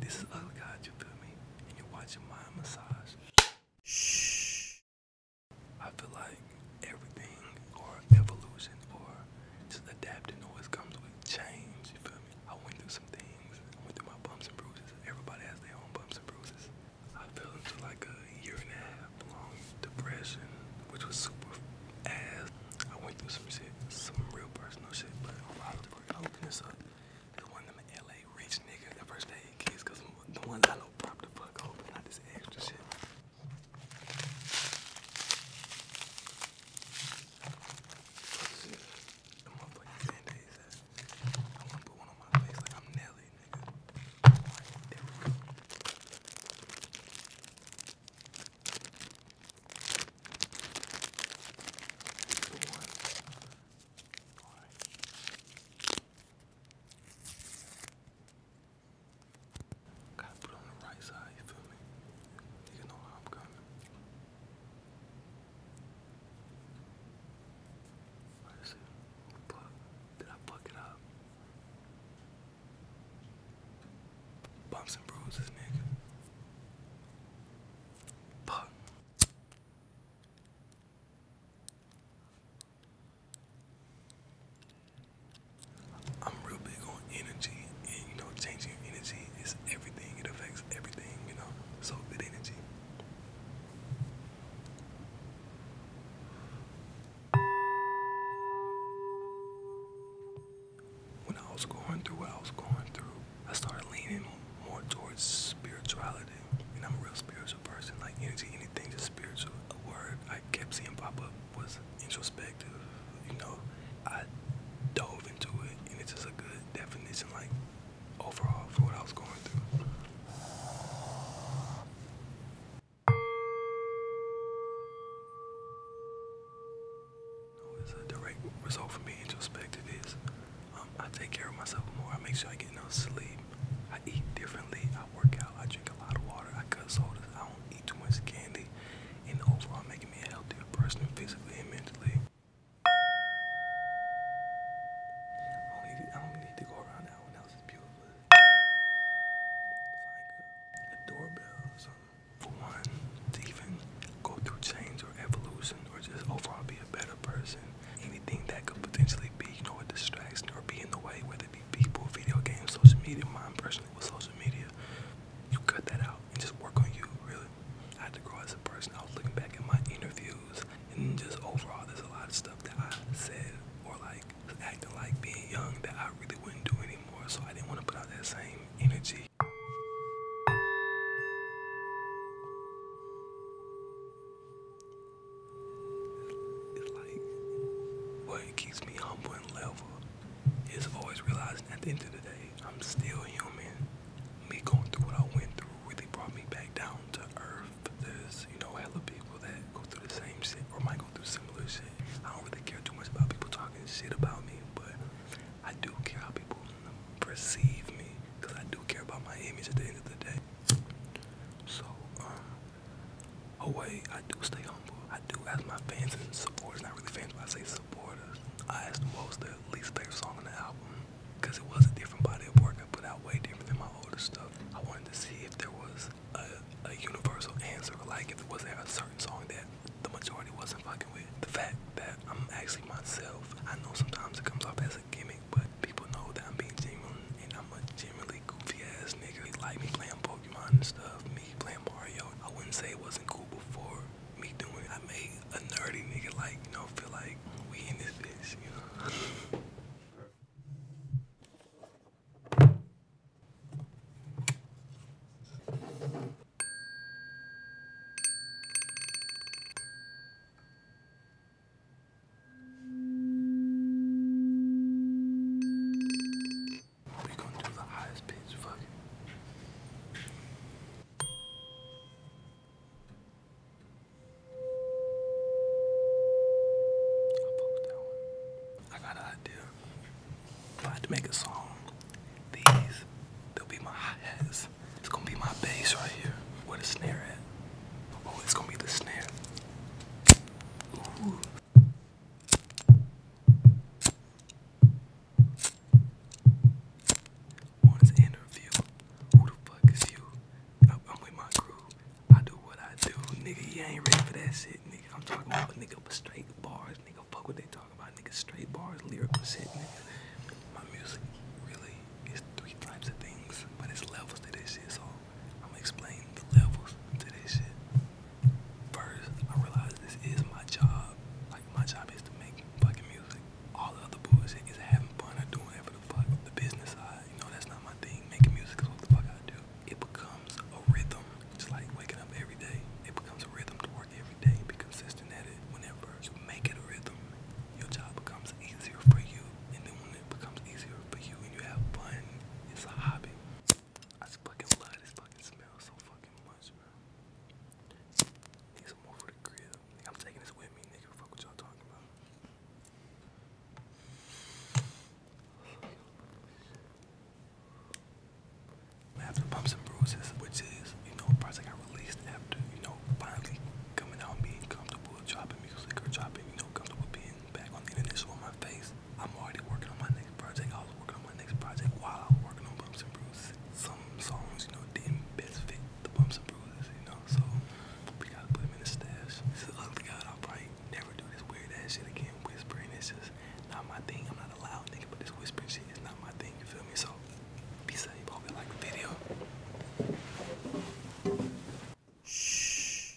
This is other guys, you feel me? And you're watching my massage. Shh. I feel like everything or evolution or just adapting always comes with change, you feel me? I went through some things, I went through my bumps and bruises. Everybody has their own bumps and bruises. I fell into like a year and a half long depression, which was super ass. I went through some shit, some real personal shit, but hyping this up. one of LA rich nigga, the first aid kids, cause the ones I know prop the fuck up, not this extra shit. I wanna put one on my face like I'm Nelly, nigga. Gotta put it on the right side, you feel me? You know how I'm coming. Let's see. Did I fuck it up? Bumps and bruises, nigga. Fuck. I'm real big on energy, and you know, changing your energy is everything. It affects everything, you know. So good energy. When I was going through what I was going through, I started leaning more towards spirituality. And I'm a real spiritual person, like energy, anything just spiritual. A word I kept seeing pop up was introspective. You know, I dove into it, and it's just a good definition, like overall, for what I was going through. It's a direct result from being introspective is um, I take care of myself more. I make sure I get enough sleep. I eat differently. I work out. I drink a lot of water. I cut sodas. I don't eat too much candy. And overall, making me a healthier person physically and mentally. I don't, need, to go around that one. That was beautiful. It's like a doorbell or something. For one, to even go through change or evolution or just overall be a better person. Anything that could potentially be, you know, a distraction or be in the way, whether it be people, video games, social media, mine personally with social media, you cut that out and just work on you, really. I had to grow as a person. I was looking back at my interviews, and just overall there's a lot of stuff that I said or like acting like being young that I really wouldn't do anymore so I didn't want to put out that same energy. It's like what keeps me humble and level is always realizing at the end of the day I'm still human. Me going through what I went through really brought me back down to earth there's, you know, hella people that go through the same shit or might go through similar shit. I don't really care too much about people talking shit about me, but I do care how people perceive me because I do care about my image at the end of the day. So, um, oh wait, I do stay humble. I do ask my fans and supporters, not really fans, but I say supporters. I ask them what was their least favorite song on the album because it was a different body of work I put out way different than my older stuff. I wanted to see if there was a, a universal answer, like if there wasn't a certain song that the majority wasn't fucking with. The fact that I'm actually myself, I know sometimes it comes off as a gimmick, but people know that I'm being genuine and I'm a genuinely goofy ass nigga. They like me playing Pokemon and stuff, me playing Mario. I wouldn't say it wasn't cool before me doing. I made a nerdy nigga like you know feel like we in this bitch, you know. We're do the highest pitch, fuck I'll post that one. I got an idea. If I had to make a song, these, they'll be my hi-hats. It's gonna be my bass right here. Where the snare at? Oh, it's gonna be the snare. Ooh. One's interview. Who the fuck is you? I'm, with my crew. I do what I do, nigga. You ain't ready for that shit, nigga. I'm talking about nigga straight bars, nigga. Fuck what they talk about, nigga. Straight bars, lyrical shit, nigga. My music really is three types of things, but it's levels to this shit. So I'm gonna explain the levels to this shit first I realized this is my job. Like my job is to make fucking music. All the other bullshit is having fun or doing whatever the fuck. The business side, you know, that's not my thing. Making music is what the fuck I do. It becomes a rhythm. Just like waking up every day. It becomes a rhythm to work every day. Be consistent at it. Whenever you make it a rhythm, your job becomes easier for you. And then when it becomes easier for you and you have fun, it's a hobby. I just fucking love this fucking smell so fucking much, bro. Need some more for the grill. I'm taking this with me, nigga. what y'all talking about. After Bumps and Bruises, which is, you know, a project I released after, you know, finally coming out and being comfortable dropping music or dropping, you know, comfortable being back on the internet, showing my face, I'm already working on my next project. I was working on my next project while I was working on Bumps and Bruises. Some songs, you know, didn't best fit the Bumps and Bruises, you know, so we gotta put them in the stash. This is other God, I'll probably never do this weird ass shit again. Whispering, it's just not my thing. I'm not a loud nigga, but this whispering shit is not my thing, you feel me? So, be safe. Hope you like the video. Shh.